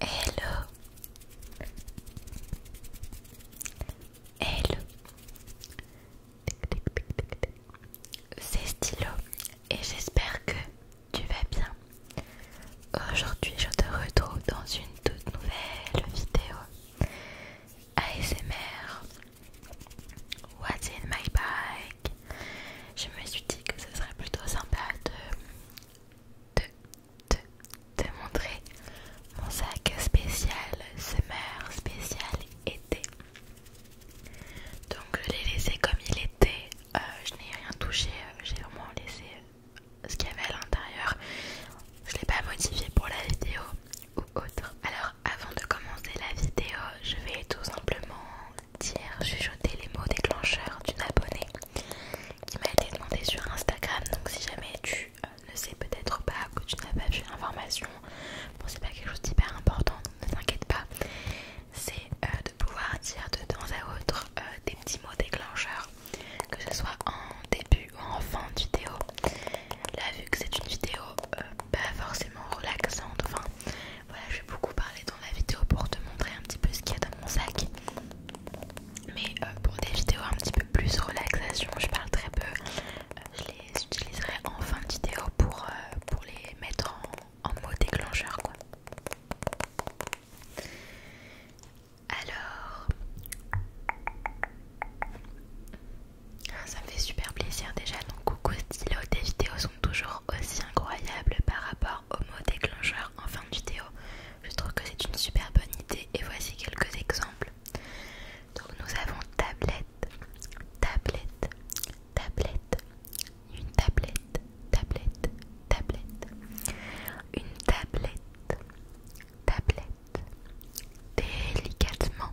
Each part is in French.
Hello Hello C'est Stylo et j'espère que tu vas bien. Aujourd'hui je te retrouve dans une toute nouvelle vidéo ASMR What's in my bag? Je me suis dit que ce serait plutôt sympa de, de, montrer mon sac spécial summer, spécial été. Donc je l'ai laissé comme il était, euh, je n'ai rien touché, euh, j'ai vraiment laissé euh, ce qu'il y avait à l'intérieur. Je ne l'ai pas modifié pour la vidéo ou autre. Alors avant de commencer la vidéo, je vais tout simplement dire, chuchoter les mots déclencheurs d'une abonnée qui m'a été demandée sur Instagram. Donc, si jamais tu euh, ne sais peut-être pas que tu n'as pas vu l'information, bon, c'est pas quelque chose d'hyper important, ne t'inquiète pas. C'est euh, de pouvoir dire de temps à autre euh, des petits mots déclencheurs, que ce soit en début ou en fin de vidéo. Là, vu que c'est une vidéo euh, pas forcément relaxante, enfin voilà, je vais beaucoup parler dans la vidéo pour te montrer un petit peu ce qu'il y a dans mon sac. Mais euh, pour des vidéos un petit peu plus relaxation, je parle très peu. Euh, je les utiliserai en fin de vidéo pour, pour les mettre en, en mot déclencheur quoi. Alors, ah, ça me fait super plaisir déjà, donc coucou stylo, des vidéos sont toujours aussi incroyables par rapport au mot déclencheur en fin de vidéo. Je trouve que c'est une super bonne idée et voici quelques exemples. Donc nous avons tablette, tablette, tablette, une tablette, tablette, tablette, une tablette, tablette, délicatement,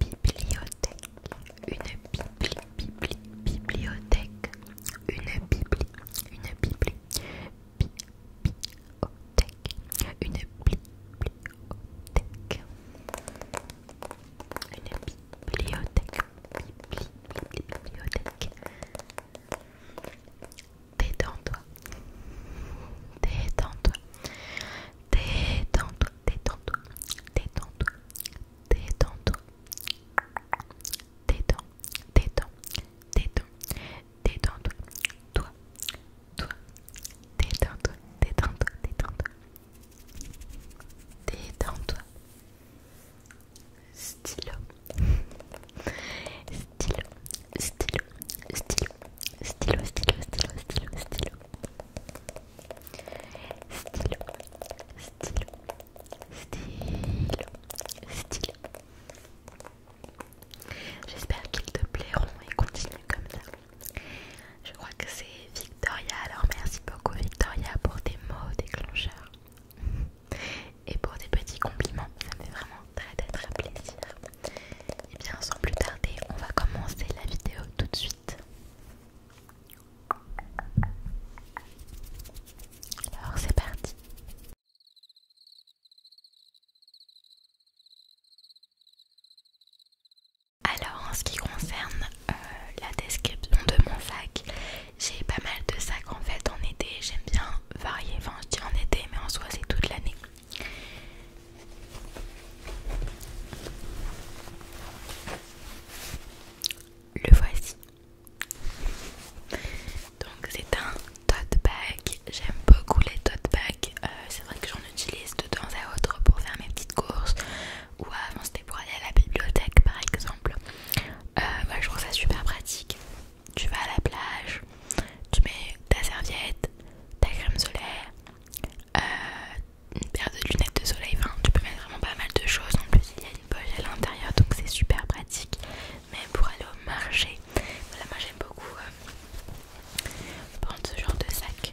bibliothèque, une bibli, bibliothèque, une bibliothèque, une bibli, bibliothèque, une bibliothèque, une bibliothèque, bibliothèque. Détends-toi, détends-toi, Détends-toi, détends-toi, détends-toi, détends-toi. Détends, détends, détends, détends-toi, toi, toi, détends-toi, détends-toi, détends-toi. Détends-toi. Stylo. Stylo, stylo, stylo, stylo, stylo, stylo, stylo stylo, stylo, stylo, stylo. J'espère qu'ils te plairont et continue comme ça. Je crois que c'est Victoria, alors merci beaucoup Victoria pour tes mots déclencheurs et pour tes petits compliments, ça me fait vraiment très très très plaisir. Et bien sans plus tarder, on va commencer la vidéo tout de suite. Alors c'est parti. Alors en ce qui concerne euh, la description de mon sac, j'ai pas mal de sacs en fait en été, j'aime bien varier, enfin je dis en été mais en soi c'est toute l'année. Le voici. Donc c'est un tote bag. J'aime beaucoup les tote bags. Euh, c'est vrai que j'en utilise de temps à autre pour faire mes petites courses. Ou avant c'était pour aller à la bibliothèque par exemple. Moi euh, je trouve ça super pratique. Tu vas à la plage, tu mets ta serviette, ta crème solaire, euh, une paire de lunettes de soleil, tu peux mettre vraiment pas mal de choses. En plus, il y a une poche à l'intérieur, donc c'est super pratique. mais pour aller au marché, voilà, moi j'aime beaucoup euh, prendre ce genre de sac.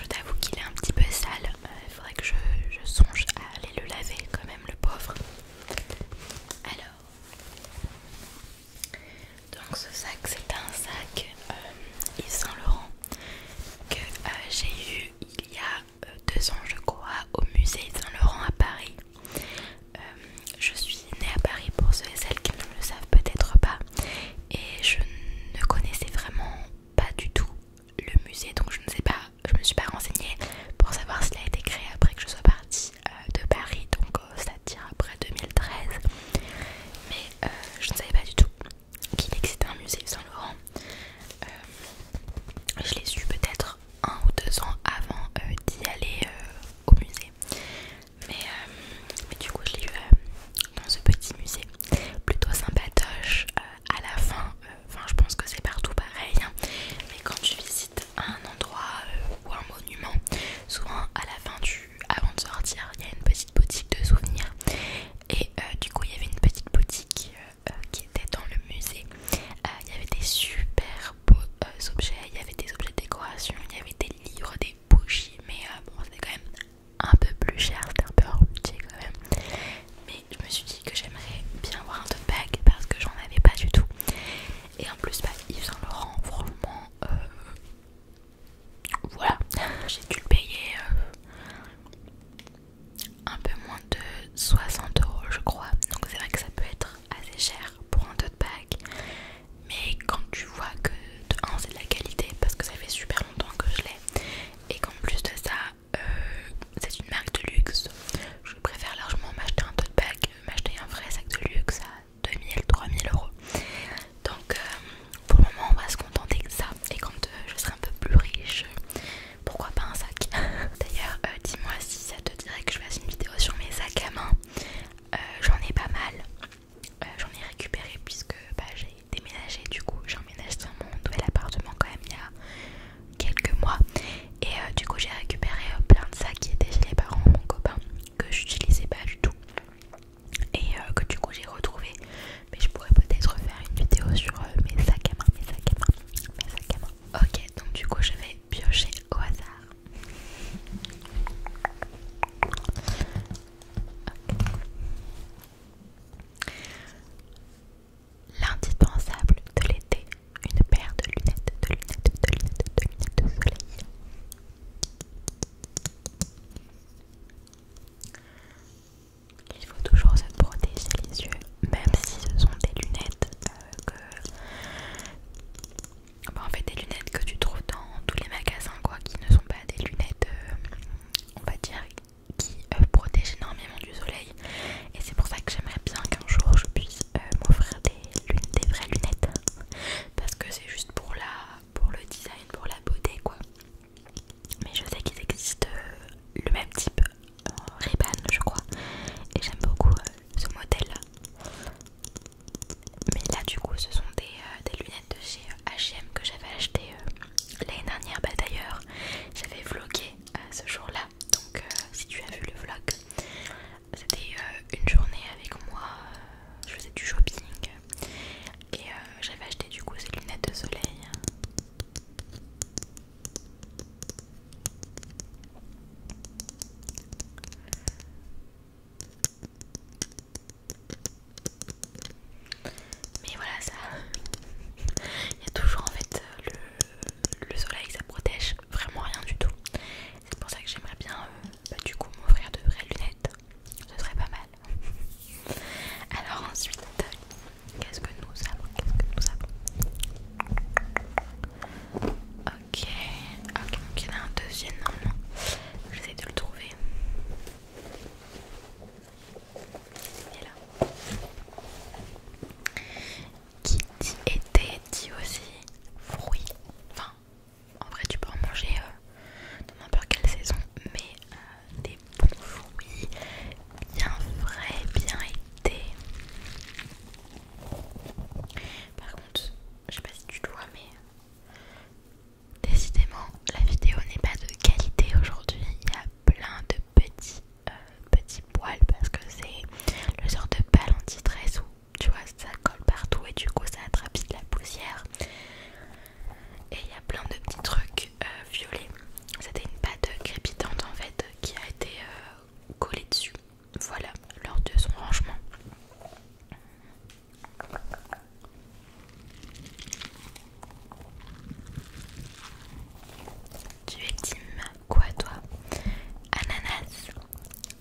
Je t'avoue qu'il est un petit peu sale, il euh, faudrait que je songe à aller le laver quand même le pauvre. Alors, donc ce sac, c'est un sac euh, Yves Saint Laurent que euh, j'ai eu il y a euh, deux ans, je crois, au musée Yves Saint Laurent à Paris. je suis née à Paris pour ceux et celles qui ne le savent peut-être pas, et je ne connaissais vraiment pas du tout le musée, donc je ne sais pas je me suis pas renseignée pour savoir s'il a été créé après que je sois partie euh, de Paris, donc euh, à ça après 2013. Mais euh, je ne savais pas du tout qu'il existait un musée Saint Laurent. je l'ai su peut-être un ou deux ans avant d'y aller au musée. Mais, du coup je l'ai eu dans ce petit musée plutôt sympatoche à la fin enfin je pense que c'est partout pareil, hein. mais quand tu visites un endroit euh, ou un monument, souvent à la fin du, avant de sortir, il y a une petite boutique de souvenirs et euh, du coup il y avait une petite boutique euh, qui était dans le musée, il y avait des super beaux objets, il y avait des objets de décoration, il y avait des livres, des bougies, mais bon c'était quand même un peu plus cher, c'était un peu hors budget quand même mais je me suis dit que j'aimerais bien avoir un tote bag parce que j'en avais pas du tout et en plus bah, Yves Saint Laurent franchement euh, voilà j'ai dû le payer euh, un peu moins de 60 euros je crois donc c'est vrai que ça peut être assez cher pour un tote bag mais quand tu vois que de 1 c'est de la qualité parce que ça fait super longtemps que je l'ai et qu'en plus de ça euh, c'est une marque de luxe. Je préfère largement m'acheter un tote bag, m'acheter un vrai sac de luxe à 2000-3000 euros. Donc euh, pour le moment, on va se contenter de ça. Et quand euh, je serai un peu plus riche, pourquoi pas un sac D'ailleurs, dis-moi si ça te dirait que je fasse une vidéo sur mes sacs à main. J'en ai pas mal. J'en ai récupéré puisque bah, j'ai déménagé. Du coup, j'ai emménagé dans mon nouvel appartement quand même il y a quelques mois et euh, du coup j'ai récupéré euh, plein de sacs qui étaient chez les parents mon copain que j'utilisais pas du tout et euh, que du coup j'ai retrouvé mais je pourrais peut-être faire une vidéo sur mes sacs à main mes sacs à main à main ok donc du coup je vais piocher au hasard L'indispensable de l'été, une paire de lunettes, de lunettes, de lunettes, de lunettes de soleil. Il faut toujours se protéger les yeux, même si ce sont des lunettes euh, que. en fait, des lunettes que tu trouves dans tous les magasins, quoi, qui ne sont pas des lunettes, euh, on va dire, qui euh, protègent énormément du soleil, et c'est pour ça que j'aimerais bien qu'un jour je puisse euh, m'offrir des, vraies lunettes parce que c'est juste pour la pour le design pour la beauté quoi mais je sais qu'il existe euh, le même type en je crois et j'aime beaucoup euh, ce modèle là mais là du coup ce sont des, lunettes de chez H&M que j'avais acheté l'année dernière bah d'ailleurs j'avais vlogué ce jour là donc si tu as vu le vlog c'était euh, une journée avec moi, euh, je faisais du shopping et euh, j'avais acheté du coup ces lunettes de soleil. Mais voilà ça, il y a toujours en fait le, le soleil, ça protège vraiment rien du tout. C'est pour ça que j'aimerais bien euh, bah, du coup m'offrir de vraies lunettes. Ce serait pas mal. Alors ensuite, qu'est-ce que nous avons Qu'est-ce que nous avons Ok, ok, donc il y en a un deuxième normalement. J'essaie de le trouver. Il là qui dit été dit aussi fruits. Enfin, en vrai, tu peux en manger euh, dans n'importe quelle saison, mais euh, des bons fruits bien frais, bien été. Par contre, je sais pas si tu le vois, mais décidément, la vidéo n'est pas de qualité aujourd'hui. Il y a plein de petits euh, petit poil parce que c'est le genre de balle anti où tu vois ça colle partout et du coup ça attrape de la poussière. Et il y a plein de petits trucs euh, violets. C'était une pâte crépitante en fait qui a été euh, collée dessus. Voilà, lors de son rangement. Tu es team quoi toi Ananas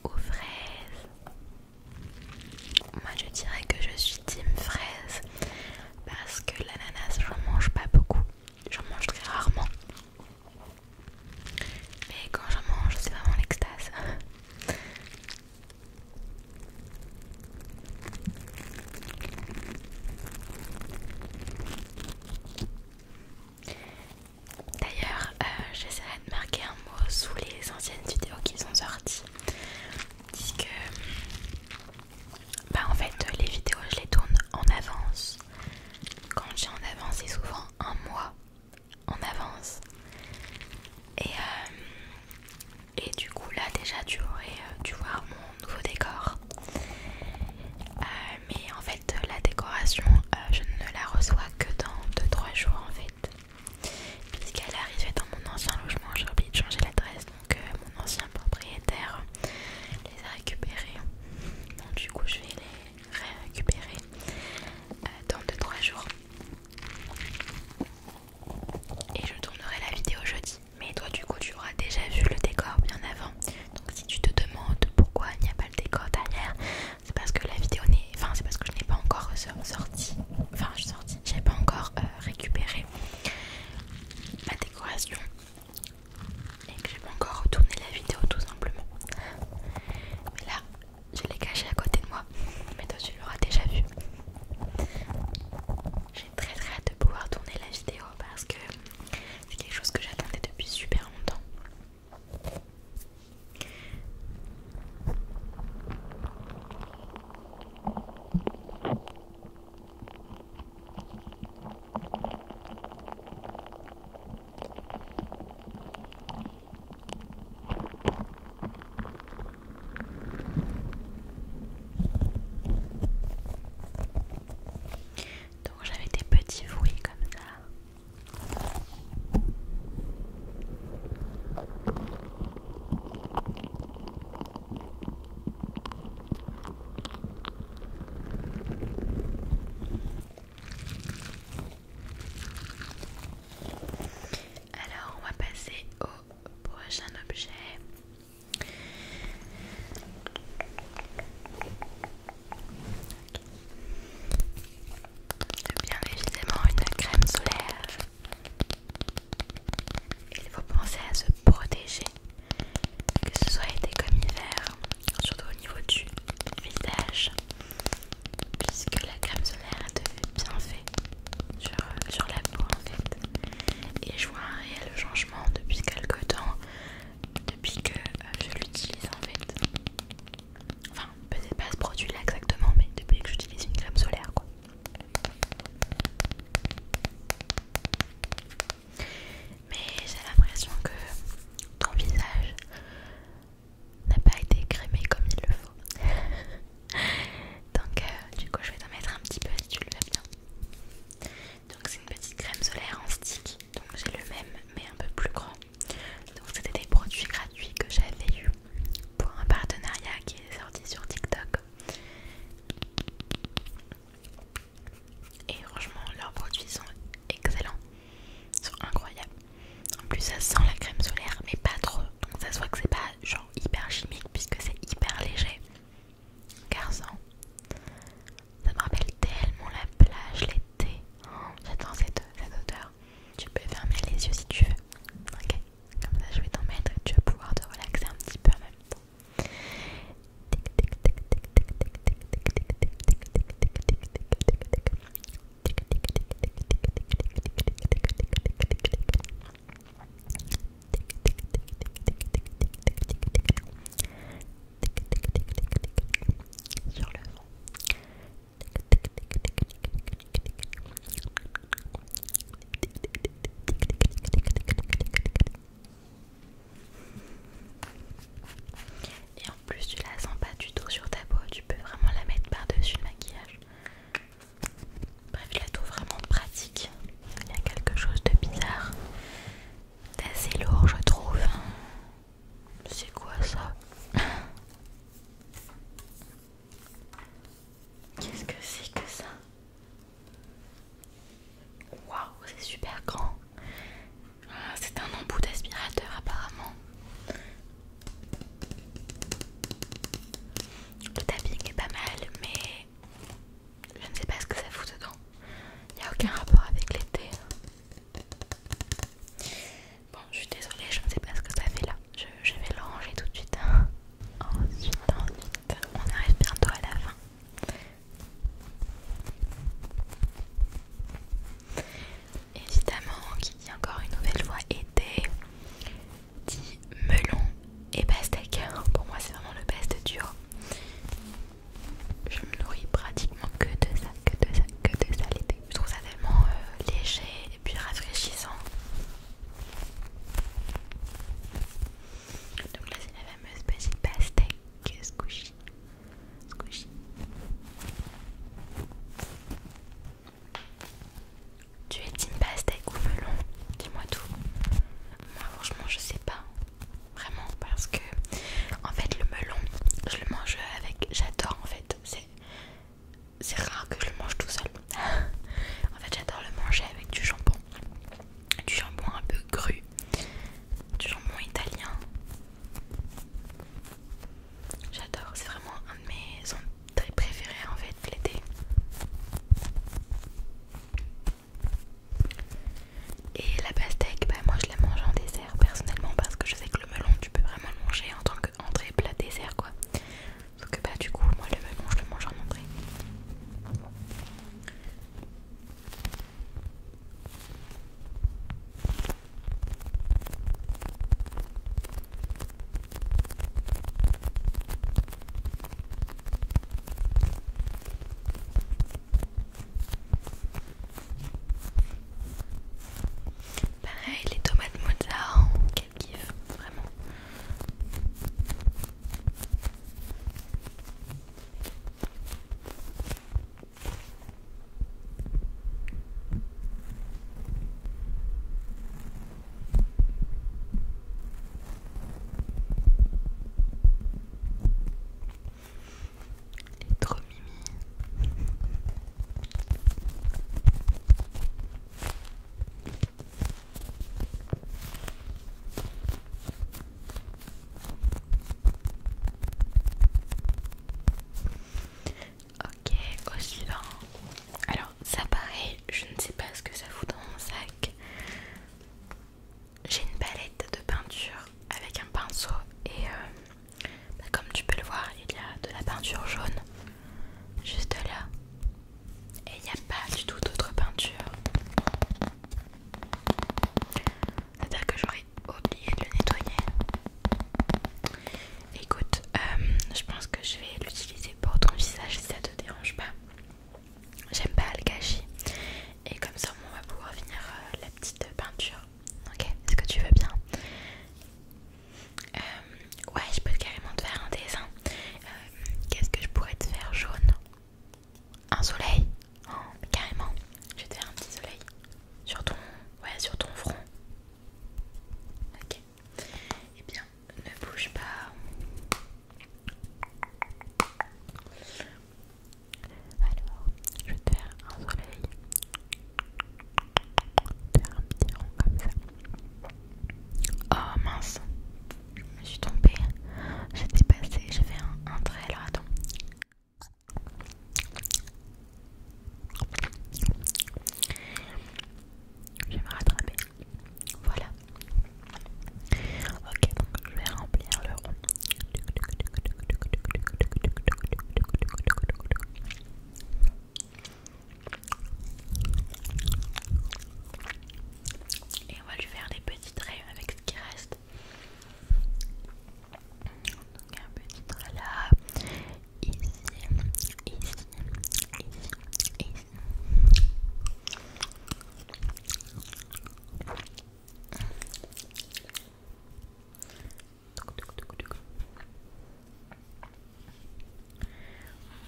ou fraises Moi je dirais que je suis team fraise parce que l'ananas j'en mange pas beaucoup, j'en mange très rarement. Mais quand j'en mange c'est vraiment l'extase. D'ailleurs, euh, j'essaierai de marquer un mot sous les anciennes vidéos qui sont sorties. Puisque, bah en fait, les vidéos je les tourne en avance. Quand j'ai en avance, c'est souvent un mois en avance. Et, euh, et du coup, là déjà, tu aurais euh, dû voir mon nouveau décor mais en fait euh, la décoration euh, je ne la reçois que dans 2-3 jours en fait puisqu'elle arrivée dans mon ancien logement j'ai oublié de changer l'adresse donc euh, mon ancien propriétaire les a récupérés donc du coup je vais les récupérer dans 2-3 jours et je tournerai la vidéo jeudi mais toi du coup tu auras déjà vu le décor bien avant donc si tu te demandes pourquoi il n'y a pas le décor derrière c'est parce que la vidéo n'est enfin c'est parce que je n'ai pas encore sorti enfin je suis sortie j'ai pas encore euh, récupéré ma décoration et que j'ai pas encore retourné la vidéo tout simplement mais là je l'ai caché à côté de moi mais toi tu l'auras déjà vu j'ai très très hâte de pouvoir tourner la vidéo parce que c'est quelque chose que j'attendais depuis super longtemps donc j'avais des petits bruits comme ça alors, on va passer au prochain objet bien évidemment une crème solaire. Il faut penser à se protéger, que ce soit été comme hiver, surtout au niveau du visage, puisque la crème solaire est de bien sur, sur la peau en fait. Et je vois un réel changement depuis quelques temps, depuis que euh, je l'utilise en fait. Enfin, peut-être pas ce produit là exactement, mais depuis que j'utilise une crème solaire quoi. Mais j'ai l'impression que ton visage n'a pas été crémé comme il le faut. Donc, euh, du coup, je vais t'en mettre un petit peu si tu le veux bien. Donc, c'est une petite crème solaire en stick. Donc, j'ai le même, mais un peu plus grand. Donc c'était des produits gratuits que j'avais eu pour un partenariat qui est sorti sur TikTok. Et franchement leurs produits sont excellents, ils sont incroyables. En plus ça sent la crème solaire mais pas trop. Donc ça se voit que c'est pas genre hyper chimique puisque c'est hyper léger. Garçon, ça me rappelle tellement la plage, l'été. Oh, j'adore cette odeur. Tu peux fermer les yeux si tu veux. Ok, comme ça je vais t'en mettre tu vas pouvoir te relaxer un petit peu en même temps. Sur le et en plus, tu la sens pas du tout sur ta peau, tu peux vraiment la mettre par-dessus le maquillage. Bref, je la trouve vraiment pratique. Il y a quelque chose de bizarre, d'assez lourd, je trouve. C'est quoi ça Qu'est-ce que c'est que ça Waouh, c'est super grand. Ah, c'est un embout d'aspirateur apparemment. Le tapping est pas mal, mais je ne sais pas ce que ça fout dedans. Il n'y a aucun rapport avec l'été. Bon, je suis désolée, je ne sais pas ce que ça fait là. Je, vais le ranger tout de suite. Hein. Ensuite, ensuite, on arrive bientôt à la fin. Évidemment, qui dit encore une nouvelle voix, été, dit melon et pastèque. Pour moi, c'est vraiment le best duo. Je me nourris pratiquement que de ça, que de ça, que de ça l'été. Je trouve ça tellement euh, léger et puis rafraîchissant. Donc là c'est la fameuse petite pastèque squishy. squishy. Tu es team pastèque ou melon Dis-moi tout. Moi franchement je sais pas. Vraiment parce que en fait le melon je le mange avec j'adore en fait. C'est c'est rare que je le mange tout seul. en fait, j'adore le manger avec du jambon, du jambon un peu cru, du jambon italien. J'adore, c'est vraiment un de mes très préférés en fait l'été. Et la pastèque, bah moi je la mange en dessert personnellement parce que je sais que le melon tu peux vraiment le manger en tant qu'entrée plat dessert quoi sauf bah du coup moi le melon je le mange en entrée Pareil, les tomates mozza, hein, quel kiff, vraiment. Ok, au suivant. Alors, ça paraît, je ne sais pas ce que ça fout dans mon sac. J'ai une palette de peinture avec un pinceau et euh, bah, comme tu peux le voir, il y a de la peinture jaune juste là. Et il n'y a pas du tout d'autre peinture. C'est-à-dire que j'aurais oublié de le nettoyer. Écoute, euh, je pense que je vais l'utiliser pour ton visage si ça te dérange pas. J'aime pas le gâchis. Et comme ça, on va pouvoir finir euh, la petite peinture. Ok, est-ce que tu veux bien euh, ouais, je peux carrément te faire un dessin. Euh, qu'est-ce que je pourrais te faire jaune Un soleil oh, Carrément. Je vais te faire un petit soleil sur ton, ouais, sur ton front. Ok. Eh bien, ne bouge pas. Alors, je vais te faire un soleil Oh mince, je me suis trompée. J'ai dépassé, j'ai fait un, trait là, attends. Je vais me rattraper. Voilà. Ok, donc je vais remplir le rond. Et on va lui faire des petits traits avec ce qui reste. Donc un petit trait là, ici, ici, ici, ici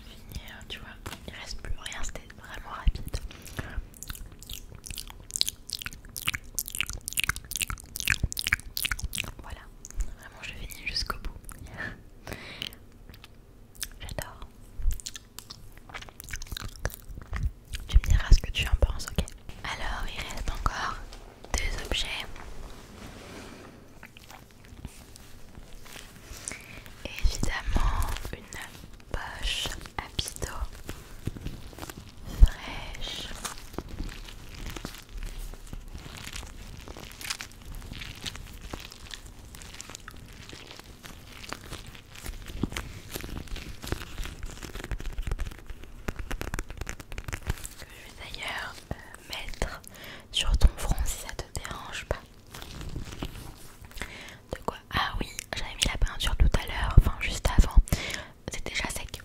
finir, tu vois, il reste plus rien, c'était vraiment rapide. Voilà, vraiment je finis jusqu'au bout. J'adore. Tu me diras ce que tu en penses, ok Alors, il reste encore deux objets. Évidemment, une poche à bido fraîche. Que je vais d'ailleurs euh, mettre sur ton front si ça te dérange pas. De quoi Ah oui, j'avais mis la peinture tout à l'heure, enfin juste avant. C'est déjà sec.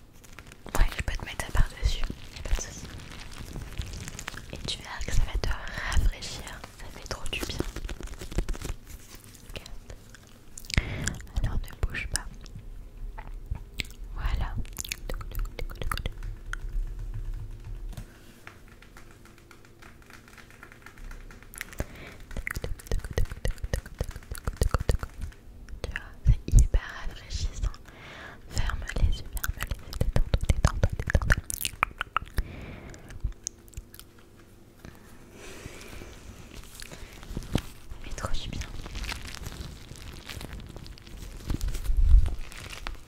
Ouais, je peux te mettre ça par-dessus, pas de soucis. Et tu verras que ça va te rafraîchir, ça fait trop du bien. Alors ne bouge pas. Voilà. c'est hyper rafraîchissant. Ferme les yeux, ferme les yeux, Mais bien. Je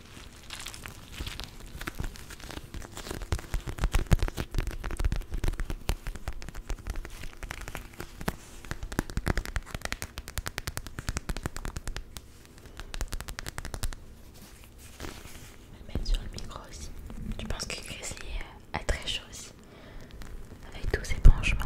vais mettre sur le micro aussi. Je pense que Chris a très chaud aussi. Avec tous ses branchements.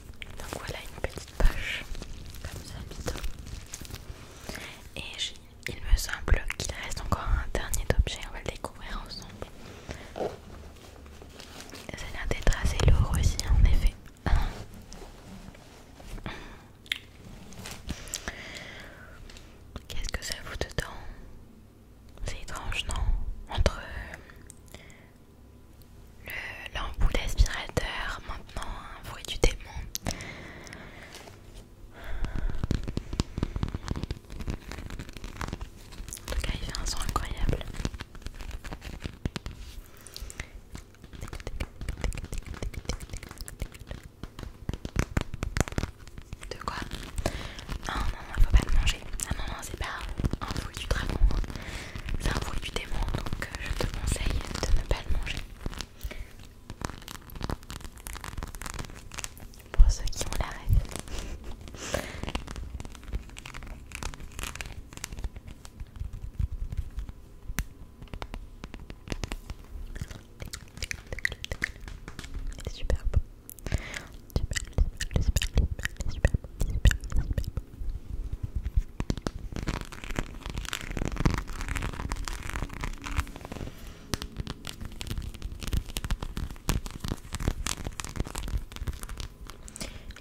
Donc voilà une petite poche comme ça Et il me semble qu'il reste encore un dernier objet, on va le découvrir ensemble. Ça a l'air d'être assez lourd aussi en effet. Qu'est-ce que ça vous dedans C'est étrange non Entre euh, l'embout aspirateur, d'aspirateur, maintenant un bruit du démon. En tout cas, il fait un son incroyable. De quoi ah Non, non, non, faut pas le manger. Ah non, non, c'est pas un bruit du dragon. Hein. C'est un bruit du démon, donc euh, je te conseille de ne pas le manger. Pour ceux qui ont la rêve. C'est super beau. Super, super, super, super, super, super,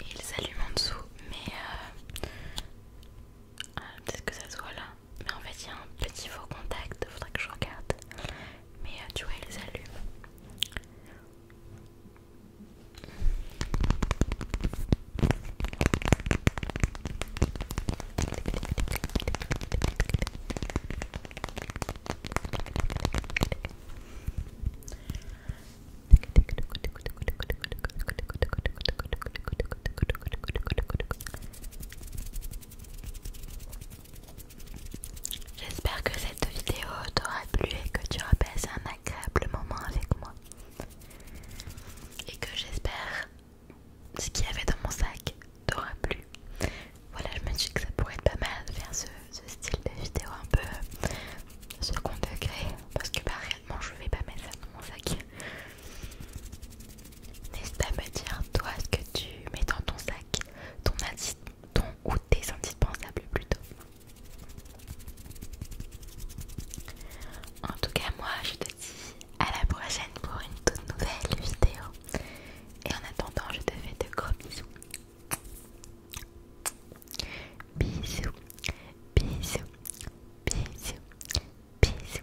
et ils allument en dessous, mais euh, euh, peut-être que ça se voit là. Mais en fait, il y a un petit faux contact, faudrait que je regarde. Mais euh, tu vois, ils allument. J'espère que cette vidéo t'aura plu et que tu auras passé un agréable moment avec moi. Et que j'espère ce qu'il y avait dans mon sac t'aura plu. Voilà, je me dis que ça pourrait être pas mal de faire ce, style de vidéo un peu second degré parce que bah réellement je vais pas mettre ça dans mon sac. N'hésite pas à me dire toi ce que tu mets dans ton sac, ton, ton ou tes indispensables plutôt. En tout cas moi je te dis à la prochaine pour une toute nouvelle vidéo. Et en attendant, je te fais de gros bisous. Bisous, bisous, bisous, bisous.